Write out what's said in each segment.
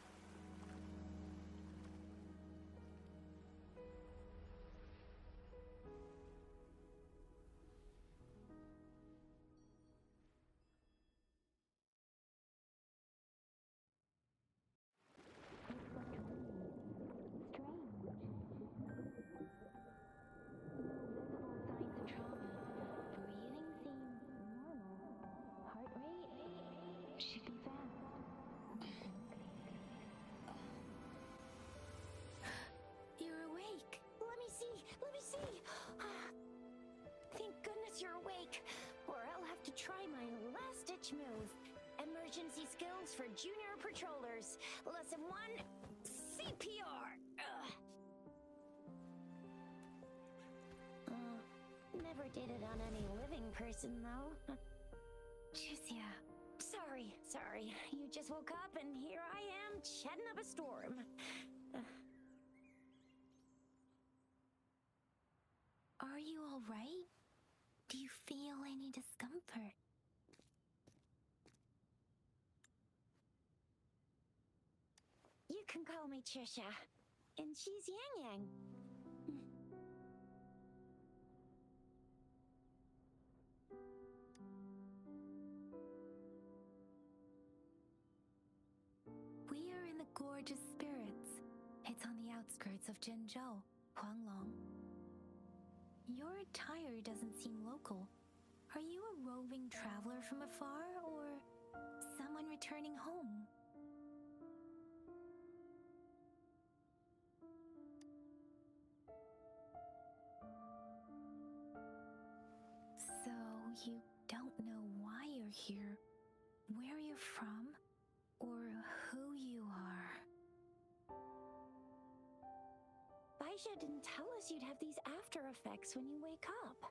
Trauma. Breathing seems normal. Heart rate should be fast. You're awake. Let me see. Let me see. thank goodness you're awake, or I'll have to try my last-ditch move. Emergency skills for junior patrollers. Lesson one, CPR. Uh, never did it on any living person, though. Jusia. Sorry, sorry. You just woke up and here I am, chatting up a storm. Are you alright? Do you feel any discomfort? You can call me Trisha, and she's Yang Yang. We are in the Gorgeous Spirits. It's on the outskirts of Jinzhou, Huanglong. Your attire doesn't seem local. Are you a roving traveler from afar, or someone returning home? So you don't know why you're here, where you're from, or who you are. Baisha didn't tell us you'd have these after effects when you wake up.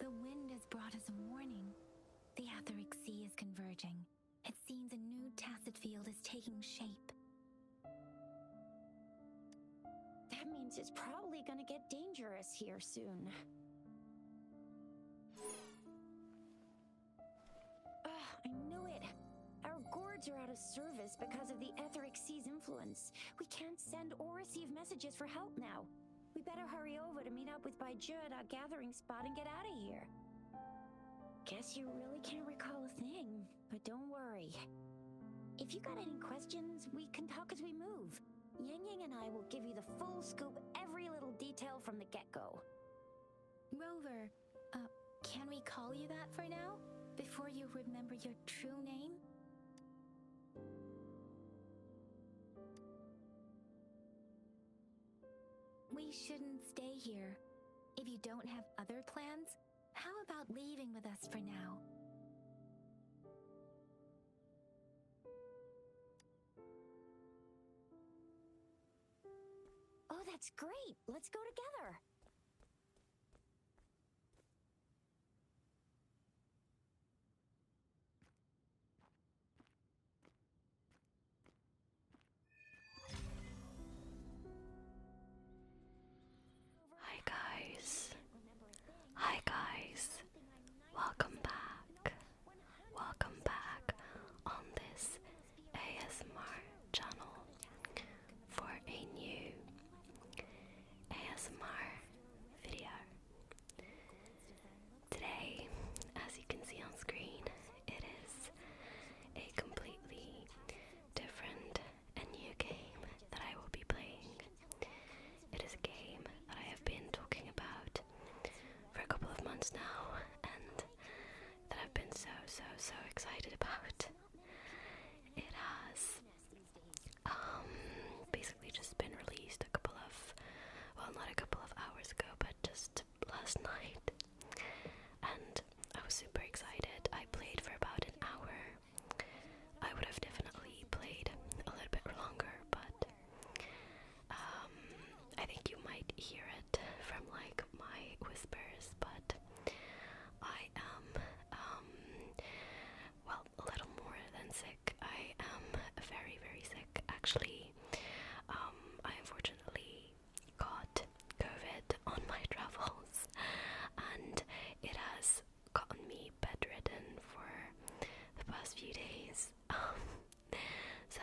The wind has brought us a warning. The Atheric Sea is converging. It seems a new tacit field is taking shape. That means it's probably gonna get dangerous here soon. I knew it. Our gourds are out of service because of the etheric sea's influence. We can't send or receive messages for help now. We better hurry over to meet up with Baiju at our gathering spot and get out of here. Guess you really can't recall a thing, but don't worry. If you got any questions, we can talk as we move. Yang Yang and I will give you the full scoop, every little detail from the get-go. Rover, uh, can we call you that for now? Before you remember your true name? We shouldn't stay here. If you don't have other plans, how about leaving with us for now? Oh, that's great! Let's go together! Hi guys. Hi guys. Welcome back. Welcome back on this ASMR channel for a new ASMR video. Today, as you can see on screen, it is a completely different and new game that I will be playing. It is a game that I have been talking about for a couple of months now and that I've been so, so, so excited about. It has um, basically just been released a couple of well not a couple of hours ago but just last night and I was super excited. I played for about an hour. I would have definitely played a little bit longer but um, I think you might hear it from like my whispers, but I am um well a little more than sick. I am very very sick actually. Um, I unfortunately got COVID on my travels, and it has gotten me bedridden for the past few days. Um, so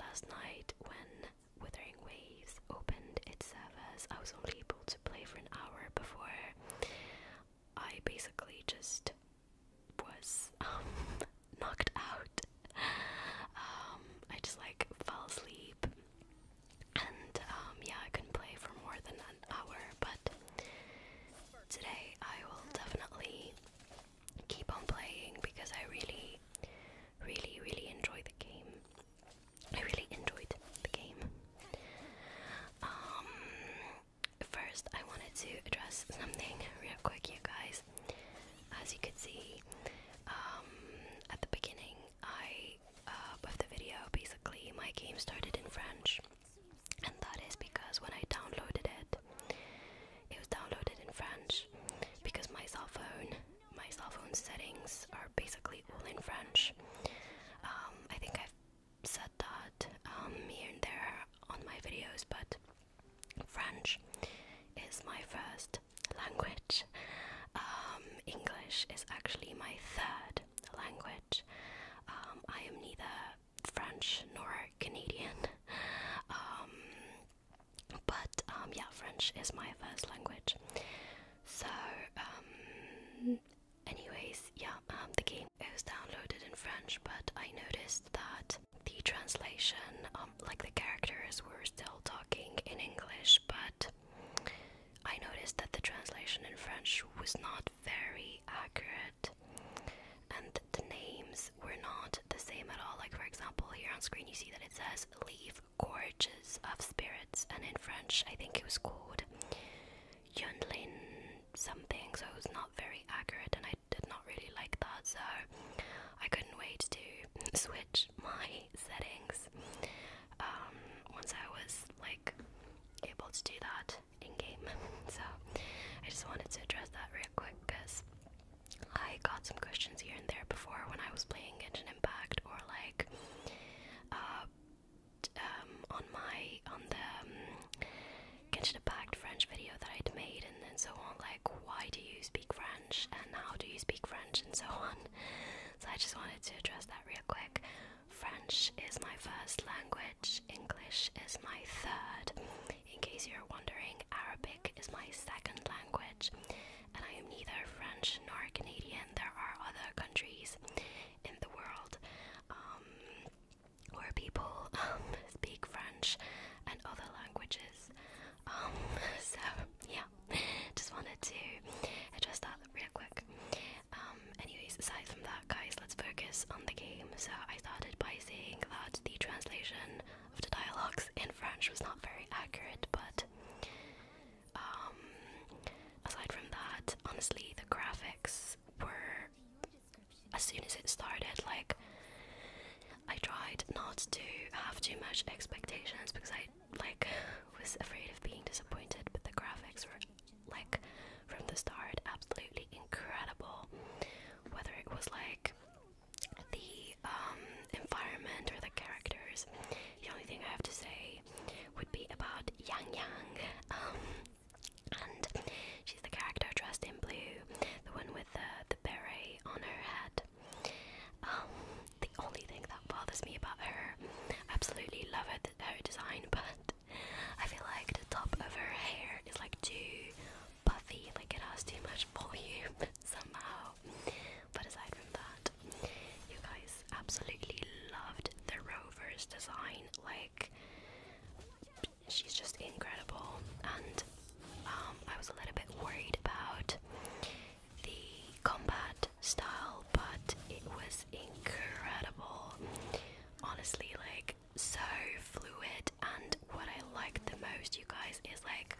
last night when Withering Waves opened its servers, I was only able to play for an hour before I basically just was um, knocked out. Um, I just like fell asleep, and um, yeah, I couldn't play for more than an hour. But today I will definitely keep on playing because I really, really, really enjoy the game. I really enjoyed the game. Um, first, I wanted to address something real quick, you guys. As you can see, um, at the beginning, I uh, of the video, basically, my game started in French, and that is because when I downloaded it, it was downloaded in French because my cell phone my cell phone settings are basically all in French. Um, I think I've said that um, here and there on my videos, but French is my first language. Um, English is actually my third language. I am neither French nor Canadian. But um, yeah, French is my first language. So, um, anyways, yeah, um, the game it was downloaded in French, but I noticed that the translation, like the characters were still talking in English, but I noticed that the translation in French was not very accurate and the names were not the same at all. Like, for example, here on screen, you see that it says leave Gorges of Spirits, and in French, I think it was called Yunlin something, so it was not very accurate, and I did not really like that, so I couldn't wait to switch my settings um, once I was like able to do that in game. So I just wanted to address that real quick because I got some questions here and there before when I was playing it, impact or like uh, um, on my on the um, Kitchen Impact French video that I'd made and, and so on like why do you speak French and how do you speak French and so on so I just wanted to address that real quick French is my first language English is my third in case you're wondering Arabic is my second language and I am neither French nor Canadian. There are other countries in the world um, where people um, speak French and other languages. Um, so, yeah, just wanted to address that real quick. anyways, aside from that, guys, let's focus on the game. So, I started by saying that the translation of the dialogues in French was not very accurate, but um, aside from that, honestly, the graphics were. As soon as it started, like I tried not to have too much expectations because I like was afraid of being disappointed, but the graphics were like from the start absolutely incredible. Whether it was like the um environment or the characters, the only thing I have to say would be about Yang Yang. Um, and she's the character dressed in blue, the one with the, the beret on her head. Um, the only thing that bothers me about her, absolutely love her, her design, but I feel like the top of her hair is like too puffy, like it has too much volume somehow. But aside from that, you guys absolutely loved the rover's design. Like she's just incredible. And um, I was a little bit worried about the combat style, but it was incredible. Honestly, like so fluid. And what I liked the most, you guys, is like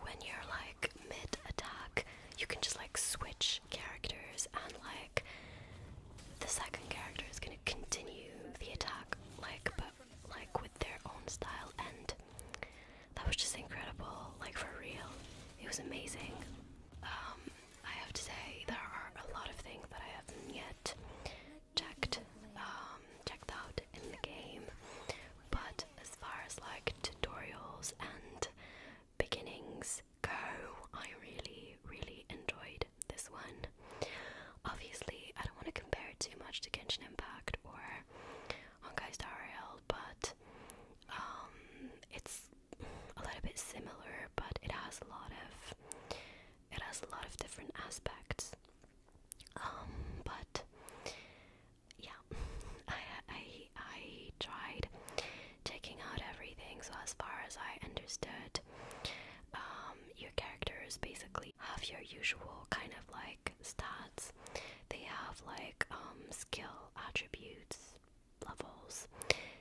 when you're like mid attack, you can just like switch characters, and like the second character is gonna continue the attack, like but like with their own style, and that was just incredible. Like for real, it was amazing. Um, I have to say there are a lot of things that I haven't yet checked, um, checked out in the game. But as far as like tutorials and beginnings go, I really, really enjoyed this one. Obviously, I don't want to compare it too much to Genshin Impact or Honkai Star but um, it's a little bit similar, but it has a lot of it has a lot of different aspects. Um, but yeah, I, I I tried taking out everything. So as far as I understood, um, your characters basically have your usual kind of like stats. They have like um, skill attributes levels.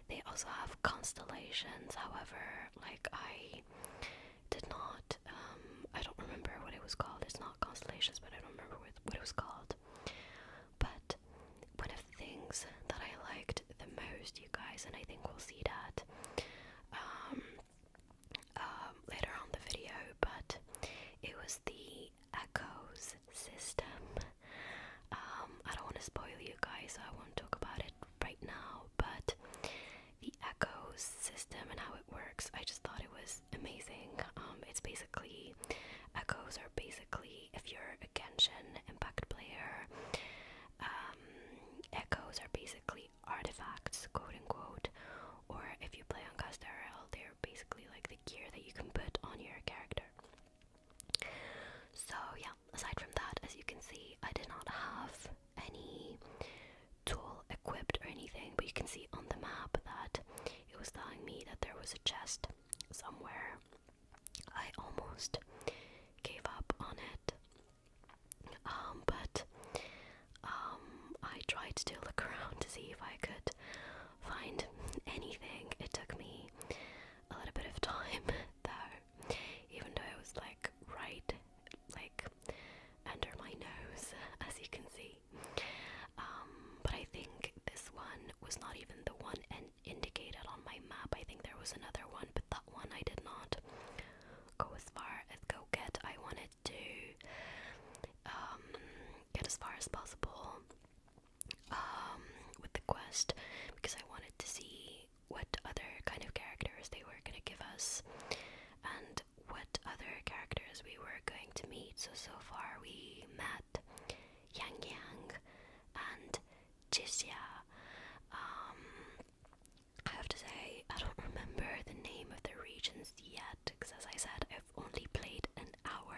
They also have constellations. However, like I did not. Um, I don't remember what it was called. It's not constellations, but I don't remember what it was called. But one of the things that I liked the most, you guys, and I think we'll see that um, um later on the video, but it was the echoes system. Um, I don't want to spoil you guys, so I won't talk about it right now, but the echoes system and how it works, I just thought it was amazing. Um, it's basically echoes are basically if you're a Genshin Impact player, um, echoes are basically artifacts, quote unquote. Or if you play on Castarel, they're basically like the gear that you can put on your character. So yeah, aside from that, as you can see, I did not have any tool equipped or anything, but you can see on the map that it was telling me that there was a chest somewhere. I almost gave up on it. Um, but um, I tried to look around to see if I could find anything. It took me a little bit of time, though, even though it was like right, like under my nose, as you can see. Um, but I think this one was not even the one indicated on my map. I think there was another one, but that one I did not go as far as go get. I wanted to um, get as far as possible um, with the quest because I wanted to see what other kind of characters they were gonna give us and what other characters we were going to meet. So so far we met Yang and Jixia. Um, I have to say I don't remember the name of the regions yet because as I said I've only played an hour.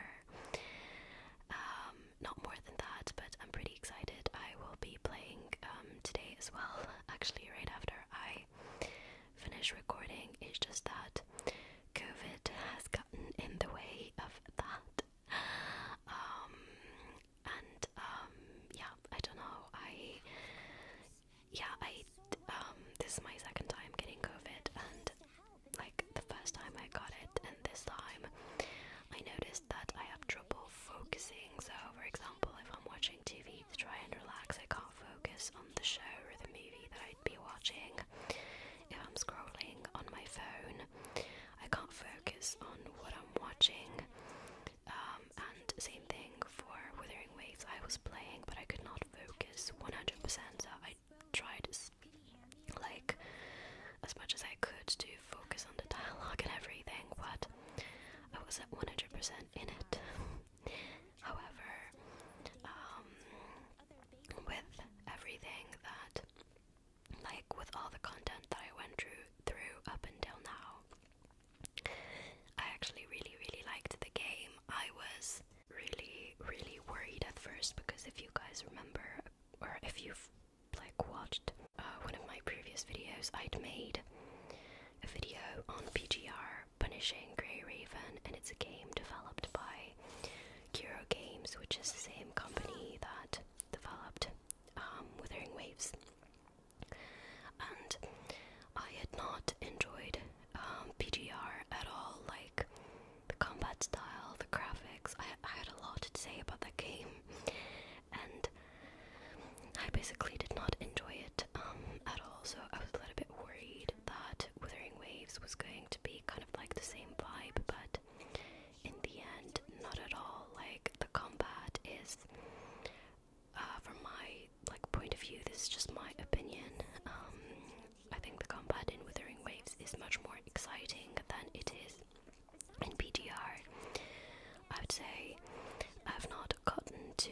Um, not more than that, but I'm pretty excited. I will be playing um, today as well, actually right after I finish recording. It's just that COVID has gotten in the way of that. Um, and um, yeah, I don't know. I yeah, I um, this is my second time getting COVID, and like the first time I got it, and this time I noticed that I have trouble focusing. So, for example, if I'm watching TV to try and relax, I can't focus on the show or the movie that I'd be watching if I'm scrolling on my phone, I can't focus on what I'm watching. Um, and same thing for Withering Waves, I was playing, but I could not focus 100%, I tried like as much as I could to focus on the dialogue and everything, but I was at 100% in it. However, um, with everything that, like, with all the content that I went through, through up until now. I actually really, really liked the game. I was really, really worried at first because if you guys remember, or if you've like watched uh, one of my previous videos, I'd made a video on PGR Punishing Grey Raven, and it's a game developed by Kuro Games, which is the same company that developed um, Withering Waves. And I had not enjoyed um, PGR at all, like the combat style, the graphics. I, had a lot to say about that game, and I basically did not enjoy it um, at all, so I was a little bit worried that Withering Waves was going to be kind of like the same vibe, but in the end, not at all. Like, the combat is, uh, from my like point of view, this is just my opinion. Um, I think the combat in Withering Waves is much more exciting than it is in PDR. I would say I've not gotten to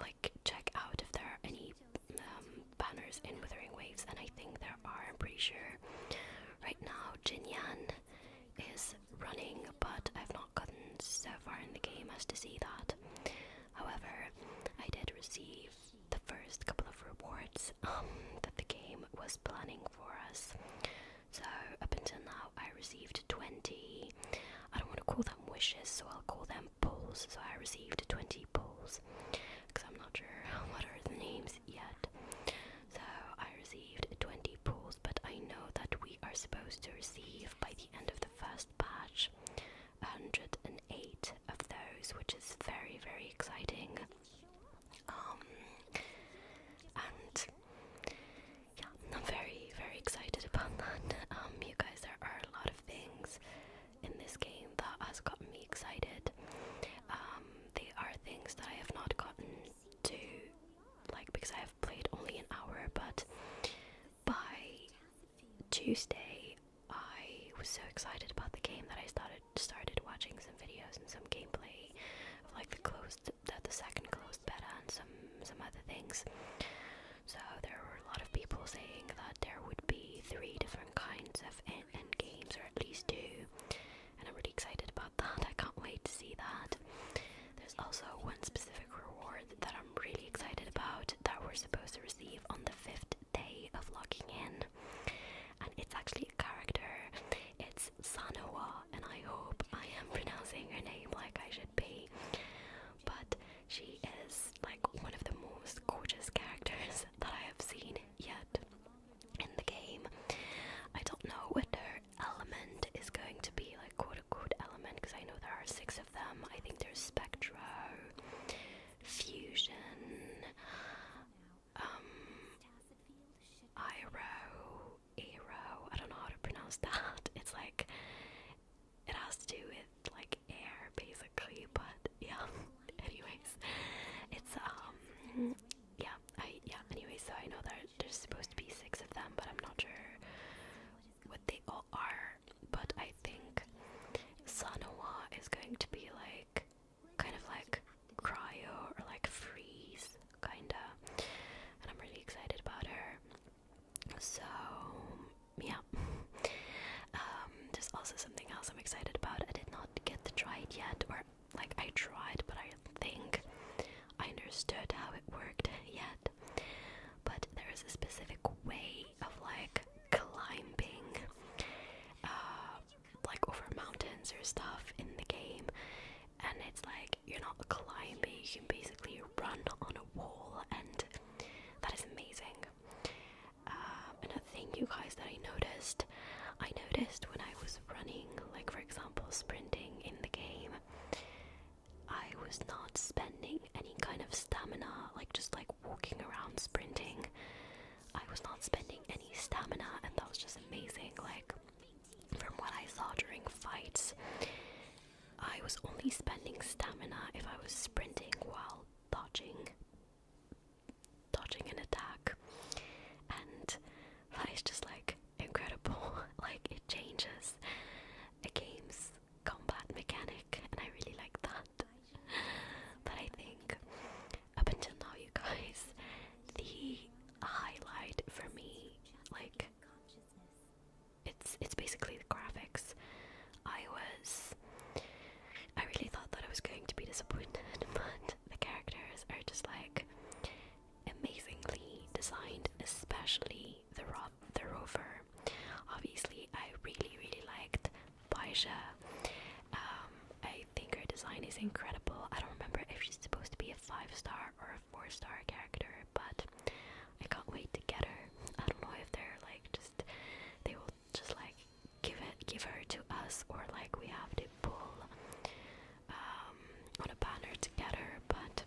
like. Um, check out if there are any um, banners in Withering Waves, and I think there are. I'm pretty sure. Right now, Jin Jinyan is running, but I've not gotten so far in the game as to see that. However, I did receive the first couple of rewards um, that the game was planning for us. So up until now, I received 20. I don't want to call wishes, so I'll call them pulls. So I received 20 pulls because I'm not sure what are the names yet. So I received 20 pulls, but I know that we are supposed to receive by the end of the first batch 108 of those, which is very, very exciting. Um, and yeah, I'm very, very excited about that. Um, you guys, there are a lot of things in this game that has gotten me excited. Um, they are things that I have not gotten to, like, because I have played only an hour, but by Tuesday, I was so excited about the game that I started started watching some videos and some gameplay of like the closed, the, the second closed beta and some some other things. So there were a lot of people saying that there would be three different kinds of end, games, or at least two. And I'm really excited about that. I can't wait to see that. There's also one specific reward that I'm really excited about that we're supposed to receive on the fifth day of logging in. And it's actually a character. It's Sanoa, and I hope I am pronouncing her name like I should be. But she is like one of the most gorgeous characters that I have seen yet in the game. I don't know what her element is going to be, like quote unquote element, because I know there are six of them. I think there's Spectro, Fusion, um, Iro, Aero. I don't know how to pronounce that. It's like it has to do with like air basically, but yeah. anyways, it's um yeah, yeah, anyway, so I know that there's supposed to be six of them, but I'm not sure what they all are. But I think Sanoa is going to be like kind of like cryo or like freeze kinda and I'm really excited about her. So yeah. um, there's also something else I'm excited about. I did not get to try it yet, or like I tried, but I think I understood how it worked yet. But there is a specific way of like climbing, uh, like over mountains or stuff in the game, and it's like you're not climbing, you can basically run on a wall, and that is amazing. Um, another thing, you guys, that I noticed, I noticed when I was running, like for example, sprinting in the game, I was not spending any kind of stamina, like just like walking around sprinting. I was not spending any stamina, and that was just amazing. Like, from what I saw during fights, I was only spending stamina if I was sprinting while dodging dodging an attack and that is just like incredible like it changes a game's combat mechanic and I really like that but I think up until now you guys the highlight for me like it's it's basically the graphics I was. I really thought that I was going to be disappointed, but the characters are just like amazingly designed, especially the ro the rover. Obviously, I really really liked Baisha. Um, I think her design is incredible. I don't remember if she's supposed to be a five star or a four star character, but I can't wait to get her. I don't know if they're like just they will just like give it give her to us or like we have to pull um, on a banner together but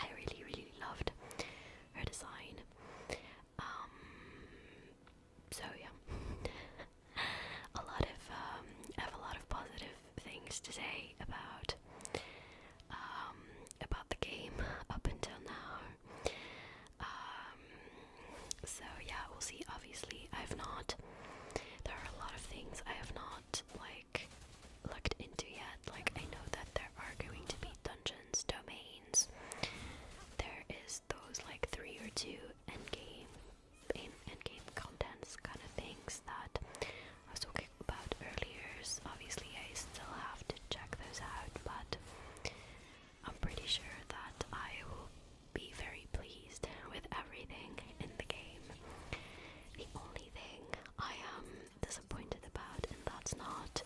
I really really loved her design um, so yeah a lot of um, I have a lot of positive things to say about um, about the game up until now um, so yeah, we'll see. Obviously, I've not. There are a lot of things I have not like looked into yet. Like I know that there are going to be dungeons, domains. There is those like three or two end game, end, end game contents kind of things that I was talking about earlier. obviously, I still have to check those out, but I'm pretty sure that I will be very pleased with everything in the game. The only thing I am disappointed about, and that's not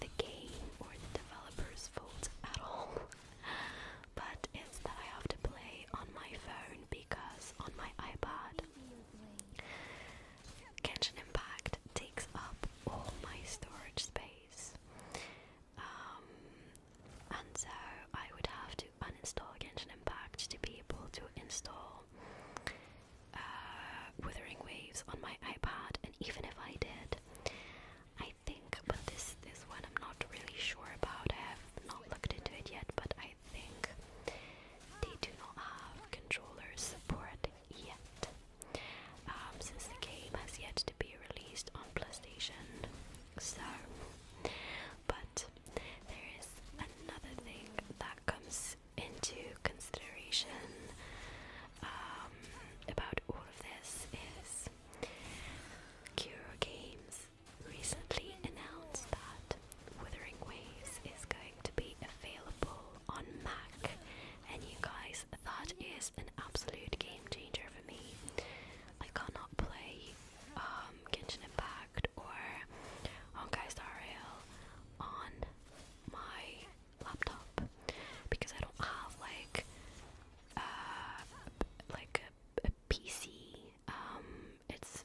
the game or the developer's fault at all, but it's that I have to play on my phone because on my iPad Genshin Impact takes up all my storage space. Um, and so I would have to uninstall Genshin Impact to be able to install uh, Withering Waves on my iPad. And even if I did, I think, but this this one I'm not really sure about. I have not looked into it yet, but I think they do not have controller support yet. Um, since the game has yet to be released on PlayStation, so but there is another thing that comes into consideration um, about all of this is Cure Games recently announced that Withering Waves is going to be available on Mac, and you guys, that is an absolute game changer for me. I cannot play um, Genshin Impact or Honkai Star Rail on my laptop because I don't have like uh, like a, a PC. Um, it's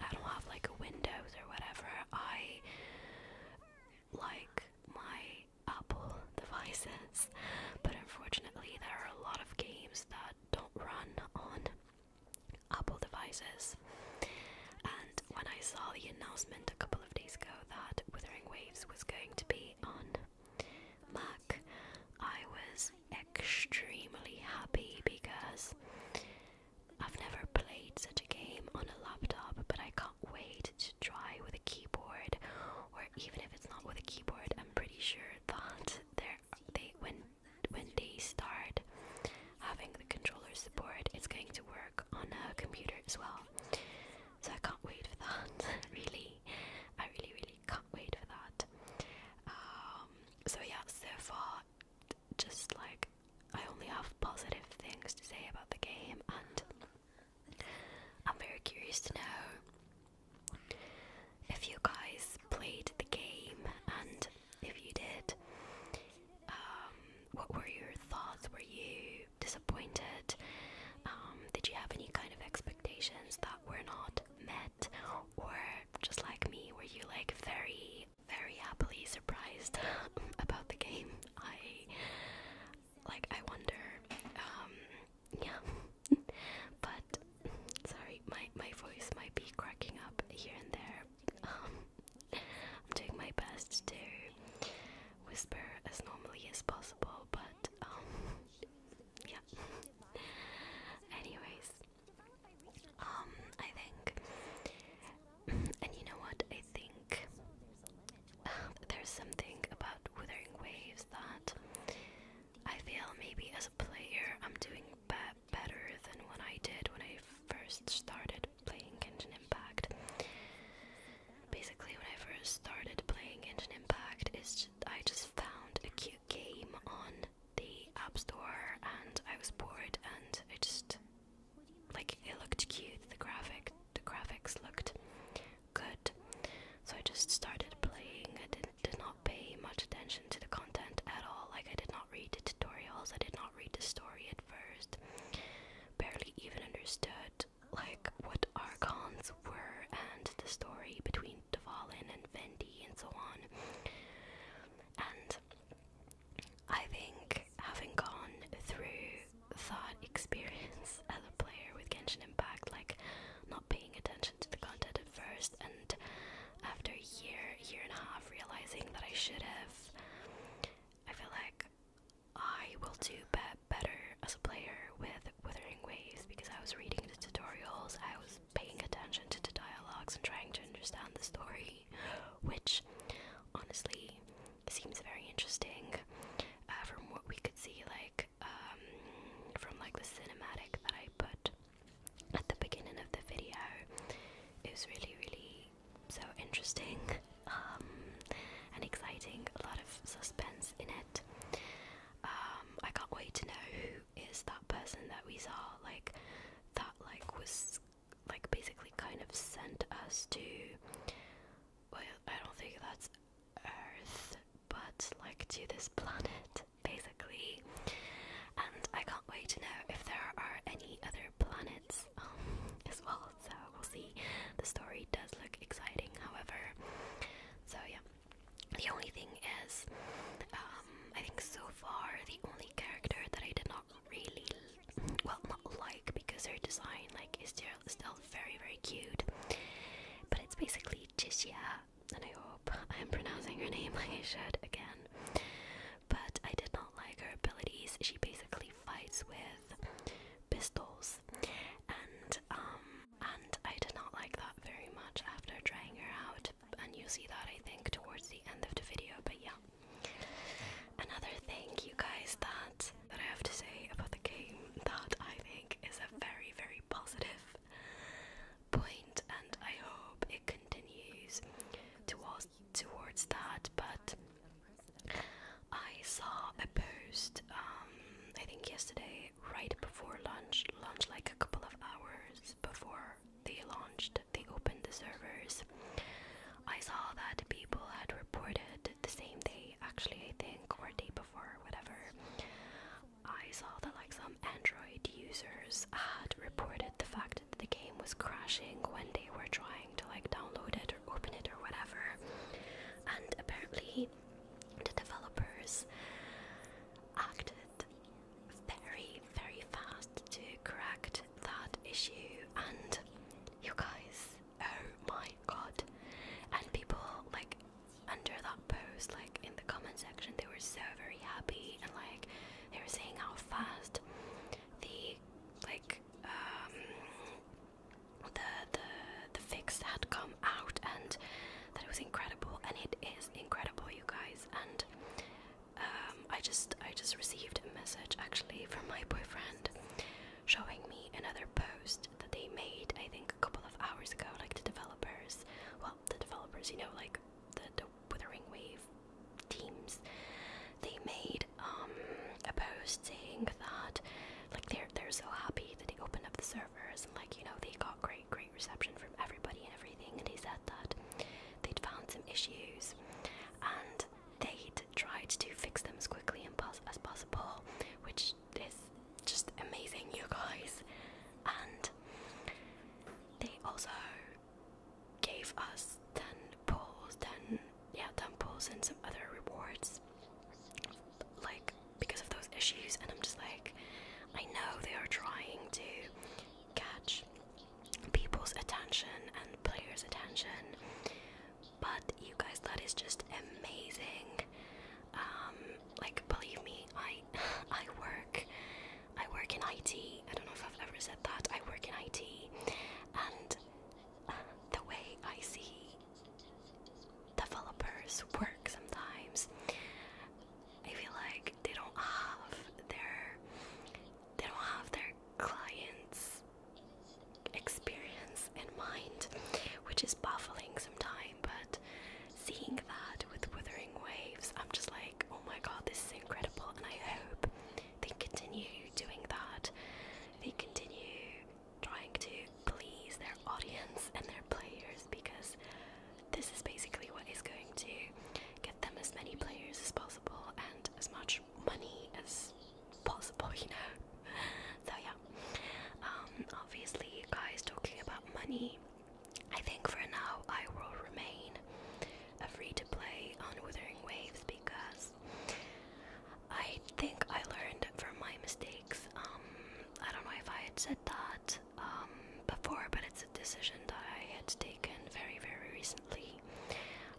I don't have like a Windows or whatever. I like my Apple devices, but unfortunately, there are a lot of games that don't run on Apple devices. And when I saw the announcement a couple of days ago that Withering Waves was going to be on Mac, I was extremely happy because I've never played such a game on a laptop, but I can't wait to try with keyboard, or even if it's not with a keyboard, I'm pretty sure that they when when they start having the controller support, it's going to work on a computer as well. So I can't wait for that. really, I really really can't wait for that. Um, so yeah, so far, just like I only have positive things to say about the game and. I'm very curious to know if you guys played the game, and if you did, um, what were your thoughts? Were you disappointed? Um, did you have any kind of expectations that were not met? Or just like me, were you like very, very happily surprised about the game? like I wonder, um, yeah. but sorry, my my voice might be cracking up here and there. Um, I'm doing my best to whisper as normally as possible, but um, yeah. Anyways, um, I think and you know what? I think um, there's something about Withering Waves that I feel maybe as a player I'm doing better than what I did when I first started playing Engine Impact. Basically, when I first started playing Engine Impact, just, I just found a cute game on the App Store and I was bored and I just. Like, it looked cute, the graphic the graphics looked good. So I just started playing. I did, did not pay much attention to the content at all. Like, I did not read the tutorials, I did not read the story at first. Barely even understood, like, what archons were and the story between Dvalin and Vendi and so on. And I think having gone through that experience as a player with Genshin Impact, like not paying attention to the content at first, and after a year, year and a half, realizing that I should have, I feel like I will do be better as a player with Withering Waves because I was reading the tutorials, I was paying attention to the dialogues and trying to understand the story, which honestly seems very interesting uh, from what we could see, like um, from like the cinematic that I put at the beginning of the video. It was really, really so interesting um, and exciting. A lot of suspense in it. Um, I can't wait to know who is that person that we saw. Like that, like was like basically kind of sent us to well, I don't think that's Earth, but like to this planet, basically. And I can't wait to know if there are any other planets um, as well. So we'll see. The story does look exciting, however. So yeah. The only thing is, um, I think so far the only character that I did not really well not like because her design like is still very very cute but it's basically Jishia and I hope I am pronouncing her name like I should again but I did not like her abilities she basically fights with pistols and um and I did not like that very much after trying her out and you see that I think towards the end of the video but yeah Another thing, you guys, that that I have to say about the game that I think is a very, very positive point, and I hope it continues towards towards that. But I saw a post, um, I think yesterday, right before lunch, lunch like a couple of hours before they launched, they opened the servers. I saw that people had reported the same thing actually, I think, or a day before, whatever, I saw that like some Android users had reported the fact that the game was crashing when they were trying to like download it or open it or whatever. And apparently, the developers acted very, very fast to correct that issue. And you guys, Oh my god. And people like under that post, like in the comment section, they were so very happy and like they were saying how fast the like um the the the fix had come out and that it was incredible and it is incredible you guys and um I just I just received a message actually from my boyfriend showing me another post that they made, I think a couple of hours ago, like the developers, well, the developers, you know, like the, the Withering Wave teams, they made um, a post saying that, like, they're, they're so happy that they opened up the servers and, like, you know, they got great, great reception from everybody and everything, and he said that they'd found some issues and they tried to fix them as quickly and as possible, which is just amazing, you guys. And they also gave us 10 pulls, 10, yeah, 10 pulls and some other rewards, like, because of those issues. And I'm just like, I know they are trying to catch people's attention and players' attention, but you guys, that is just amazing. Um, like believe me, I I work I work in IT. I don't know if I've ever said that. I work in IT, and uh, the way I see developers work sometimes, I feel like they don't have their they don't have their clients experience in mind, which is baffling sometimes, but seeing that with Withering Waves, I'm just like, oh my god, this is incredible, and I hope they continue doing that. They continue trying to please their audience and their players because this is basically what is going to get them as many players as possible and as much money as possible, you know. so yeah. Um, obviously, guys, talking about money. I think for now I will remain a free to play on Withering Waves because I think I learned from my mistakes. Um, I don't know if I had said that um, before, but it's a decision that I had taken very, very recently.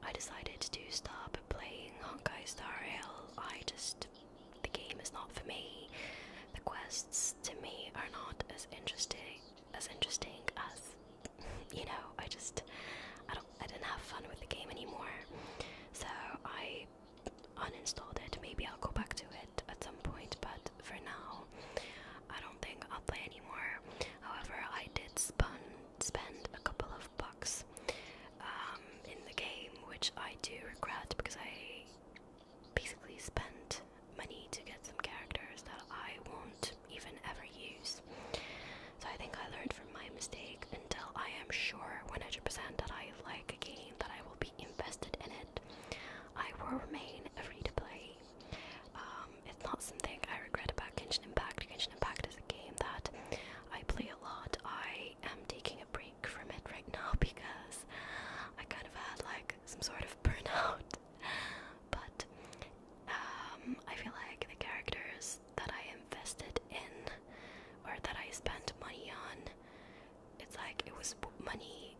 I decided to stop playing Honkai Star Rail I just the game is not for me. The quests to me are not as interesting as interesting as you know, I just I don't I didn't have fun with the game anymore. So I uninstalled it. Maybe I'll go back to it at some point, but for now I don't think I'll play anymore. However, I did spend spend a couple of 12 um, in the game, which I do regret because I basically spent money to get some characters that I won't even ever use. So I think I learned from my mistake until I am sure 100% that I like a game, that I will be invested in it. I will remain a free to play. Um, it's not something I regret about Genshin Impact. Genshin Impact is a game that I play a lot. I I am taking a break from it right now because I kind of had like some sort of burnout. but um, I feel like the characters that I invested in or that I spent money on, it's like it was money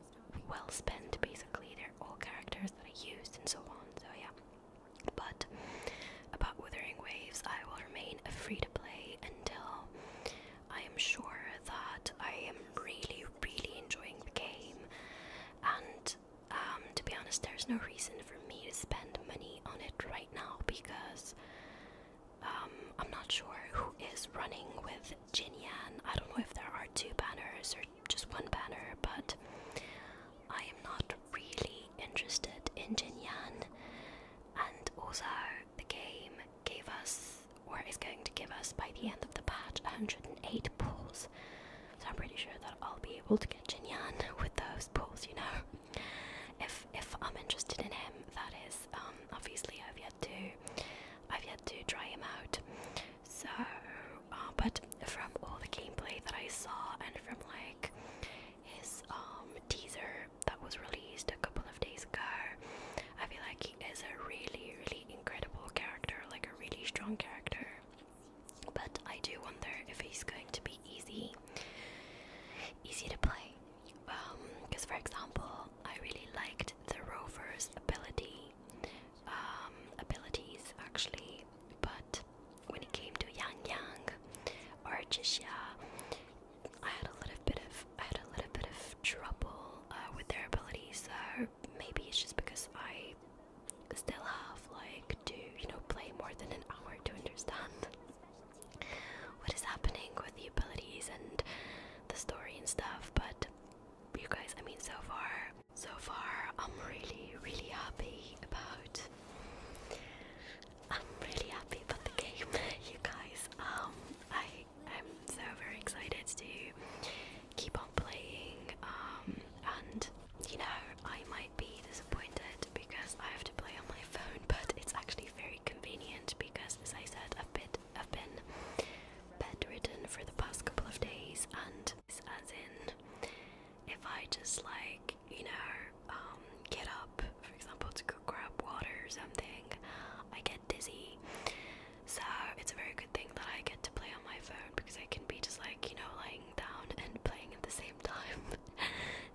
well spent basically. They're all characters that I used and so on, so yeah. But about Withering Waves, I will remain free to play until I am sure that I am really, really enjoying the game. And um, to be honest, there's no reason for me to spend money on it right now because um, I'm not sure who is running with Jinyan. I don't know if there are two banners or just one banner, but I am not really interested in Jinyan and also the game gave us, or is going to give us by the end of the patch, 108 pulls. So I'm pretty sure that I'll be able to get Jin Jinyan with those pulls, you know. If if I'm interested in him, that is. Um, obviously I've yet to, I've yet to try him out. So, uh, but from all the gameplay that I saw and from like his um teaser that was released a couple of days ago. I feel like he is a really, really incredible character, like a really strong character. But I do wonder if he's going to be easy, easy to play. Um, Because, for example, I really liked the Rover's ability, um, abilities actually, but when it came to Yang Yang or Jixia, I had a little bit of I had a little bit of trouble uh, with their abilities. So maybe it's just because I still have like to you know play more than an hour to understand what is happening with the abilities and the story and stuff. But you guys, I mean, so far, so far, I'm really, really happy about I'm really happy about the game, you guys. Um, I I'm so very excited to keep on playing. Um, and you know I might be disappointed because I have to play on my phone, but it's actually very convenient because, as I said, I've been I've been bedridden for the past couple of days, and as in, if I just like you know, um, get up, for example, to grab water or something, I get dizzy. So it's a very good thing that I get to play on my phone because I can be just like, you know, lying down and playing at the same time.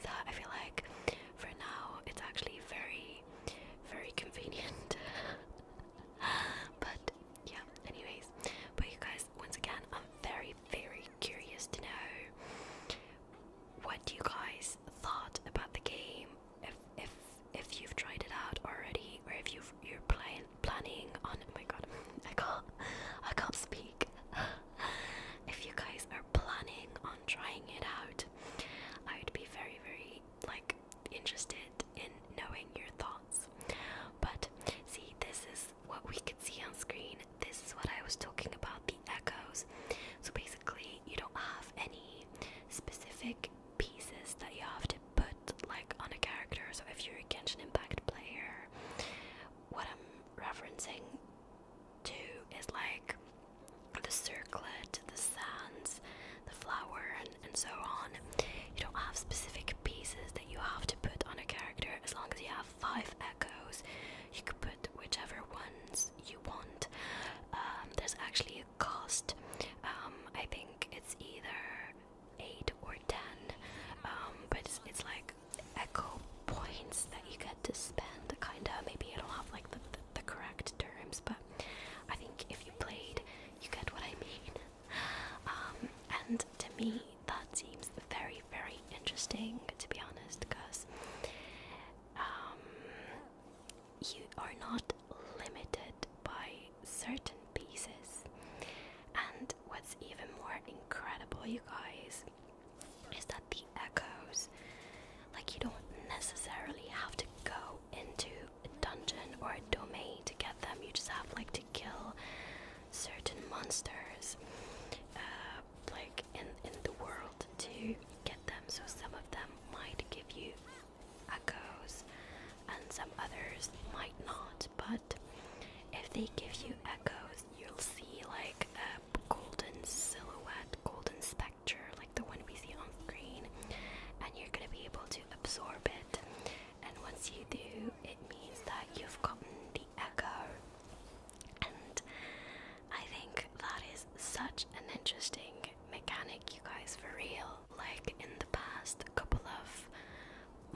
so I feel like for now it's actually very, very convenient. but yeah, anyways. But you guys, once again, I'm very, very, curious to know what you guys thought about the game. If if if you've tried it out already, or if you you're plan, planning on oh my god, I can't I can't speak. if you guys are planning on trying it out, I would be very very like interested in knowing your thoughts. But see, this is what we could see on screen this is what I was talking about the echoes. So basically, you don't have any specific pieces that you have to put like on a character. So if you're a Genshin Impact player, what I'm referencing to is like the circlet, the sands, the flower, and, and so on. You don't have specific pieces that you have to put on a character as long as you have five echoes. You could put whichever ones you want. Um, there's actually a cost. Um, I think it's either eight or ten, um, but it's, like echo points that you get to spend. Kinda, maybe I don't have like the, the, correct terms, but I think if you played, you get what I mean. and to me, that seems very, very interesting to be honest, because um, you are not limited by certain pieces. And what's even more incredible, you guys, is that the echoes, like, you don't necessarily have to go into a dungeon or a domain to get them, you just have like to kill certain monsters. Uh, like in in the world to get them. So some of them might give you echoes, and some others might not. But if they give you echoes, you'll see like a golden silhouette, golden spectre, like the one we see on screen, and you're gonna be able to absorb it. And once you do, it means that you've gotten the echo. And I think that is such an interesting mechanic, you guys, for real. Like in the past couple of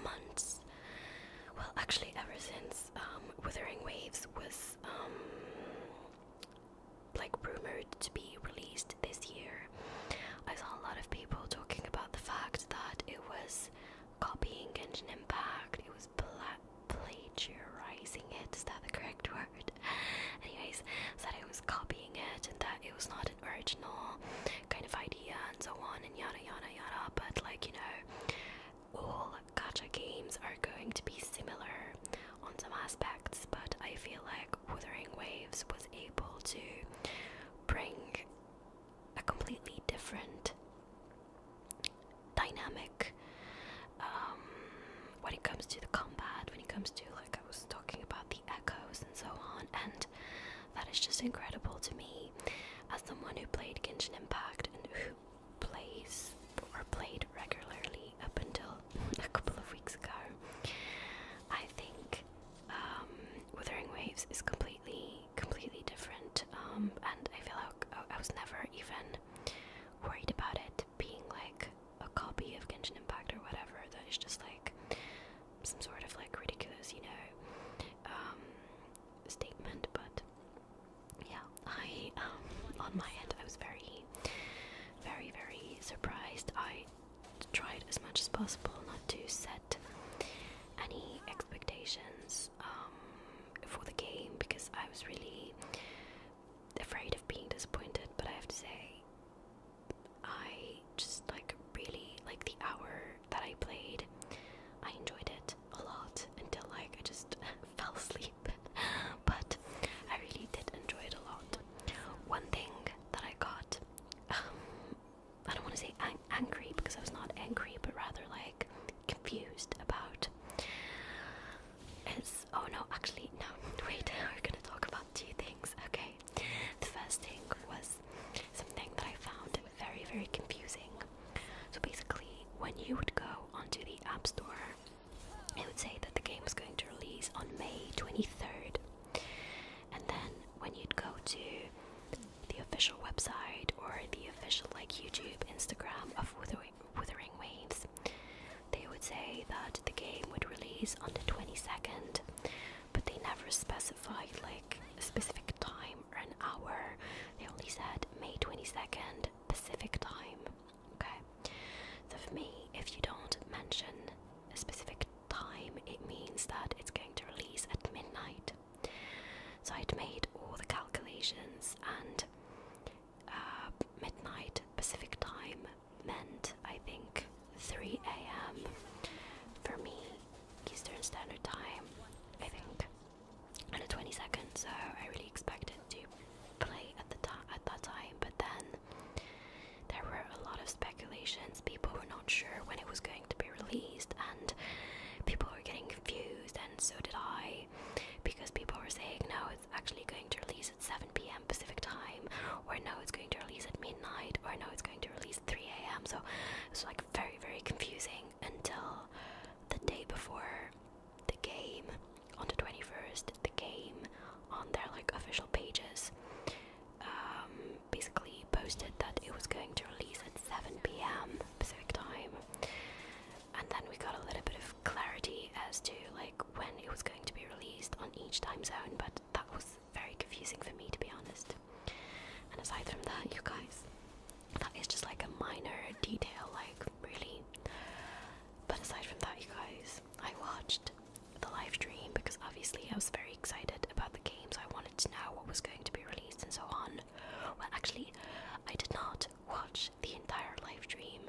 months, well, actually, ever since um, Withering Waves was um, like rumored to be released this year, I saw a lot of people talking about the fact that it was copying Genshin Impact, it was is plagiarizing it. Is that the correct word? Anyways, said I was copying it and that it was not an original kind of idea and so on and yada yada yada. But like you know, all gacha games are going to be similar on some aspects. But I feel like Wuthering Waves was able to bring a completely different dynamic um, when it comes to the combat, when it comes to, like, I was talking about the echoes and so on, and that is just incredible to me as someone who played Genshin Impact and who plays or played regularly up until a couple of weeks ago. I think um, Withering Waves is completely, completely different, um, and I feel like I was never even worried about it being like a copy of Genshin Impact or whatever that is just like some sort of like ridiculous, you know, um, statement. But yeah, I um, on my end I was very, very, very surprised. I tried as much as possible not to set any expectations. Um, for the game because I was really afraid of being disappointed. But I have to say, I just like really like the hour that I played. I enjoyed it a lot until like I just fell asleep. but I really did enjoy it a lot. One thing that I got, um, I don't want to say angry because I was not angry, but rather like confused about. It's oh no, actually no. Wait, we're gonna talk about two things. Okay, the first thing was something that I found very very confusing. So basically, when you would go onto the App Store, it would say that the game was going to release on May twenty third, and then when you'd go to the official website or the official like YouTube, Instagram of Wuthering withering waves. They would say that the game would release on the 22nd, but they never specified like a specific time or an hour. They only said May 22nd Pacific time. Okay, so for me, if you don't mention a specific time, it means that it's going to release at midnight. So I'd made all the calculations and uh, midnight Pacific time meant, I think, 3 a.m. for me, Eastern Standard Time, I think, on the 22nd. So I really expected to play at the time at that time, but then there were a lot of speculations. People were not sure when it was going to be released, and people were getting confused, and so did I because people were saying no, it's actually going to release at 7 p.m. Pacific time, or no, it's going to release at midnight, or no, it's going to release at 3 a.m. So it was like very, very confusing until the day before the game on the 21st, the game on their like official pages um, basically posted that it was going to release at 7 p.m. Pacific time and then we got a little bit of clarity as to like when it was going to be released on each time zone, but that was very confusing for me to be honest. And aside from that, you guys, that is just like a minor detail, like really. But aside from that, you guys, I watched the live stream because obviously I was very excited about the games. I wanted to know what was going to be released and so on. Well, actually, I did not watch the entire live stream.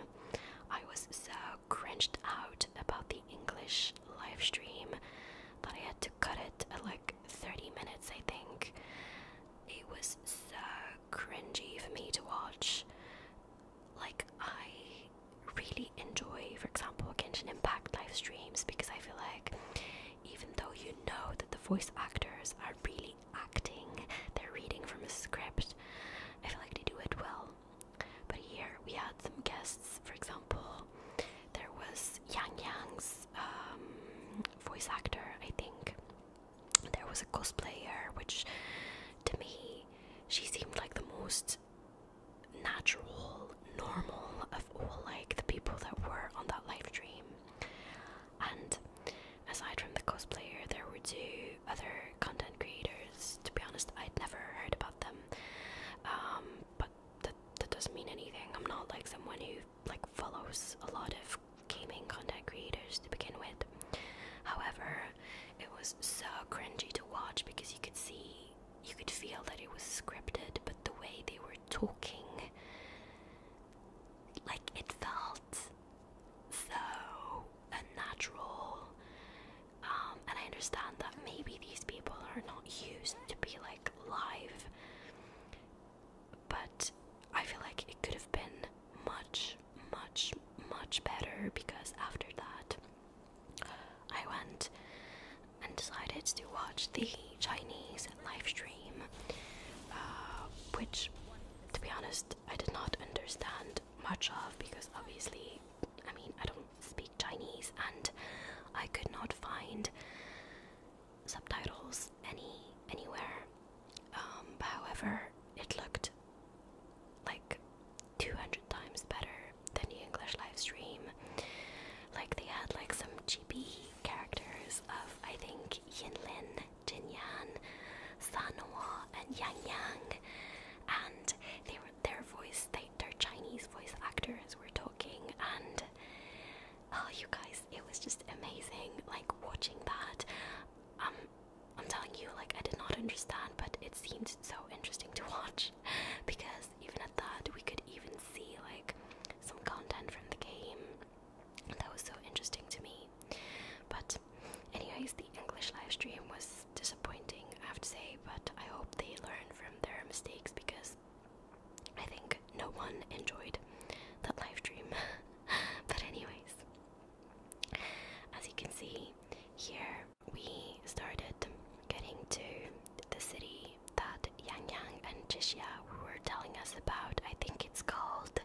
I was so cringed out about the English live stream that I had to cut it at uh, like 30 minutes, I think. It was so cringy for me to watch. Like, I really enjoy, for example, Genshin Impact live streams because I feel like even though you know that the voice actors are really acting, they're reading from a script. I feel like they do it well. But here we had some guests, for example, there was Yang Yang's um, voice actor, I think. There was a cosplayer, which to me, she seemed like the most natural, normal of all like the people that were on that live stream. And Aside from the cosplayer, there were two other content creators. To be honest, I'd never heard about them. Um, but that, that doesn't mean anything. I'm not like someone who like follows a lot of gaming content creators to begin with. However, it was so cringy to watch because you could see, you could feel that it was scripted, but the way they were talking, like it felt so unnatural. Um, and I understand that maybe these people are not used to be like live, but I feel like it could have been much, much, much better because after that, I went and decided to watch the Chinese live stream, uh, which, to be honest, I did not understand much of because obviously, I mean, I don't speak Chinese and I could not find subtitles any anywhere. Um, however, it looked like 200 times better than the English live stream. Like they had like some cheapy characters of I think like Yinlin, Jinyan, Sanhua, and Yang Yang, and they were their voice, they, their Chinese voice actors were talking, and oh, you guys, it was just amazing. Like watching that, um, I'm telling you, like I did not understand, but it seemed so interesting to watch because even at that, we could even see like some content from the game. That was so interesting to me. But Anyways, the English live stream was disappointing, I have to say, but I hope they learn from their mistakes because I think no one enjoyed that live stream. but, anyways, as you can see here, we started getting to the city that Yang Yang and Jixia were telling us about. I think it's called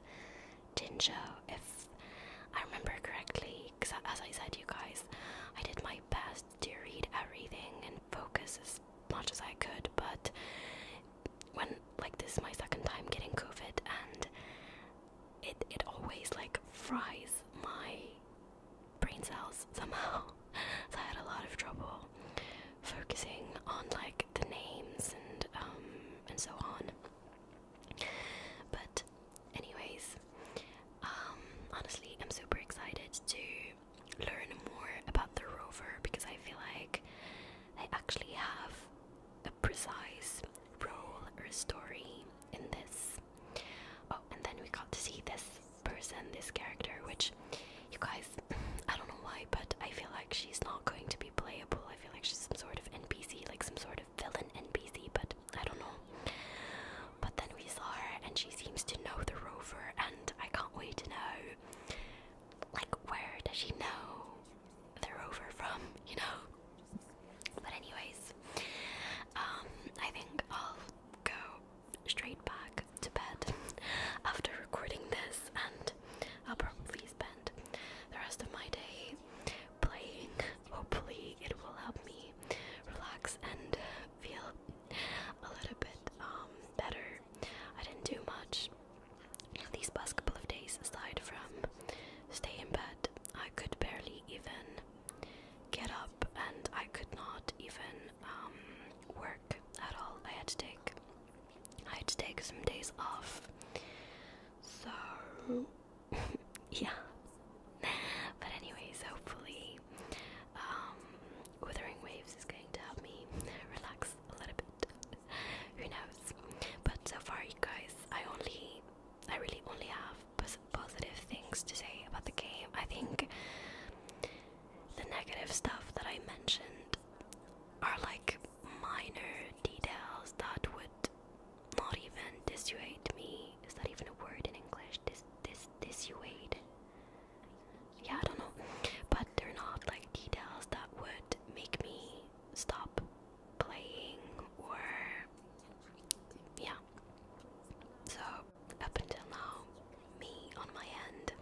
ginger, if I remember correctly. Because as I said, you guys, I did my best to read everything and focus as much as I could, but when like this is my second time getting COVID, and it it always like fries my brain cells somehow. so I had a lot of trouble focusing on like the names and um and so on. But, anyways, um, honestly, I'm super excited to learn more about the rover because I feel like they actually have a precise role or story in this. Oh, and then we got to see this person, this character, which you guys, I don't know why, but I feel like she's not going to be played. I feel like she's some sort of NPC, like some sort of villain NPC, but I don't know. But then we saw her, and she seems to know the rover, and I can't wait to know. Like, where does she know the rover from? You know. But anyways, um, I think I'll go straight back to bed after recording this, and I'll probably spend the rest of my day playing. Hopefully, it will help me relax and feel a little bit um, better. I didn't do much these past couple of days aside from stay in bed. I could barely even get up, and I could not even um, work at all. I had to take I had to take some days off. So, yeah. But, anyways, hopefully, um, Withering Waves is going to help me relax a little bit. Who knows? But so far, you guys, I only, I really only have positive things to say about the game. I think the negative stuff that I mentioned are like minor details that would not even dissuade me. Is that even a word in English? Dis dis dissuade. Yeah, I don't know. But they're not like details that would make me stop playing or yeah. So up until now, me on my end,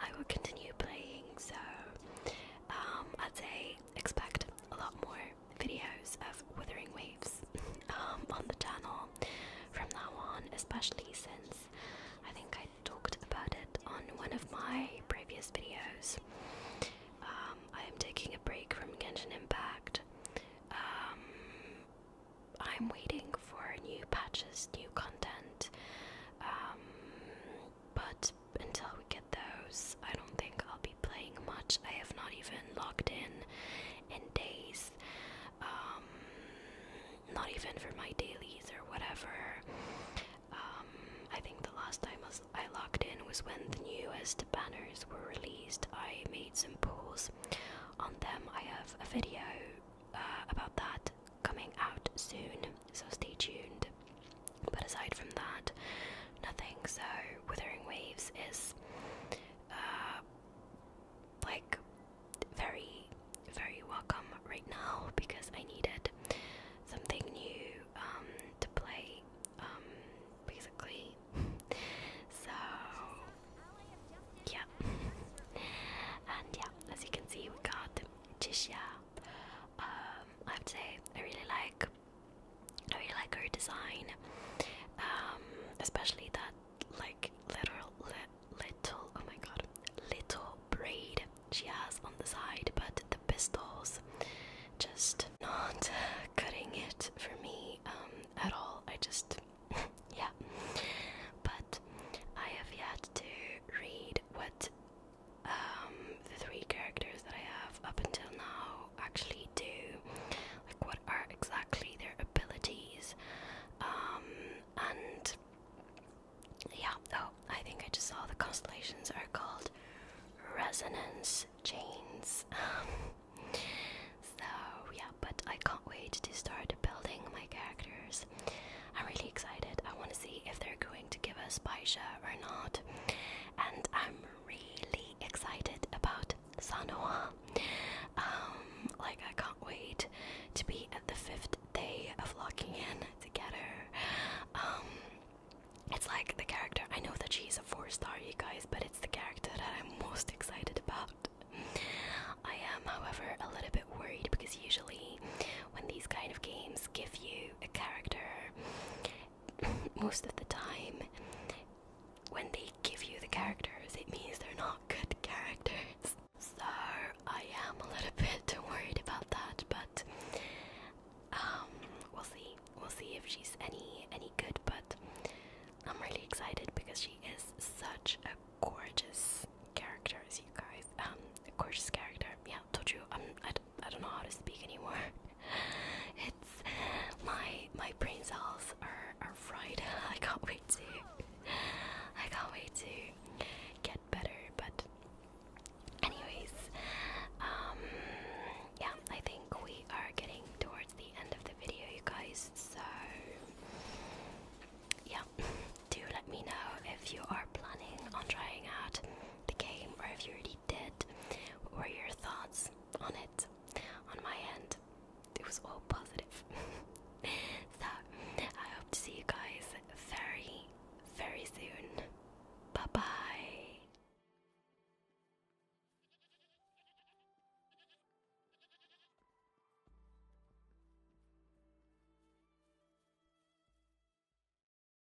I will continue playing. So um, I'd say expect a lot more videos of withering waves um, on the channel from now on, especially since I think I talked about it on one of my previous videos. Um, I am taking a break from Genshin Impact. Um, I'm waiting for new patches, new content, but until we get those, I don't think I'll be playing much. I have not even logged in in days, um, not even for my dailies or whatever. Um, I think the last time I logged in was when the newest banners were released. I made some polls on them. I have a video uh, about that coming out soon so stay tuned. But aside from that, nothing. So, Withering Waves is uh, like very, very welcome right now because I needed something new um, to play, um, basically. so, yeah. and yeah, as you can see, we got Jisha. Um, I have to say, I really like I really like her design, um, especially that like little little oh my god little braid she has on the side, but the pistols just not cutting it for me um, at all. I just yeah, but I have yet to read what um, the three characters that I have up until now actually do, like what are exactly their abilities, um, and yeah. Oh, I think I just saw the constellations are called resonance chains. so yeah, but I can't wait to start building my characters. I'm really excited. I want to see if they're going to give us Baisha or not and I'm really excited about Sanoa. Um, like I can't wait to be at the fifth day of locking in together. Um, it's like the character. I know that she's a four star, you guys, but it's the character that I'm most excited about. I am, however, a little bit worried because usually when these kind of games give you a character, most of the time, when they give you the characters, it means they're not good characters. So I am a little bit worried about that, but um, we'll see. We'll see if she's any any good. But I'm really excited because she is such a gorgeous character, as you guys. Um, gorgeous character. Yeah told you I'm, um, I, d I don't know how to speak anymore. it's my my brain cells are are fried. I can't wait to I can't wait to get better. But anyways, um, yeah, I think we are getting towards the end of the video, you guys. So yeah, do let me know if you are planning on trying out the game, or if you already did. What were your thoughts on it? On my end, it was all positive. so, I hope to see you guys very, very soon. Bye bye.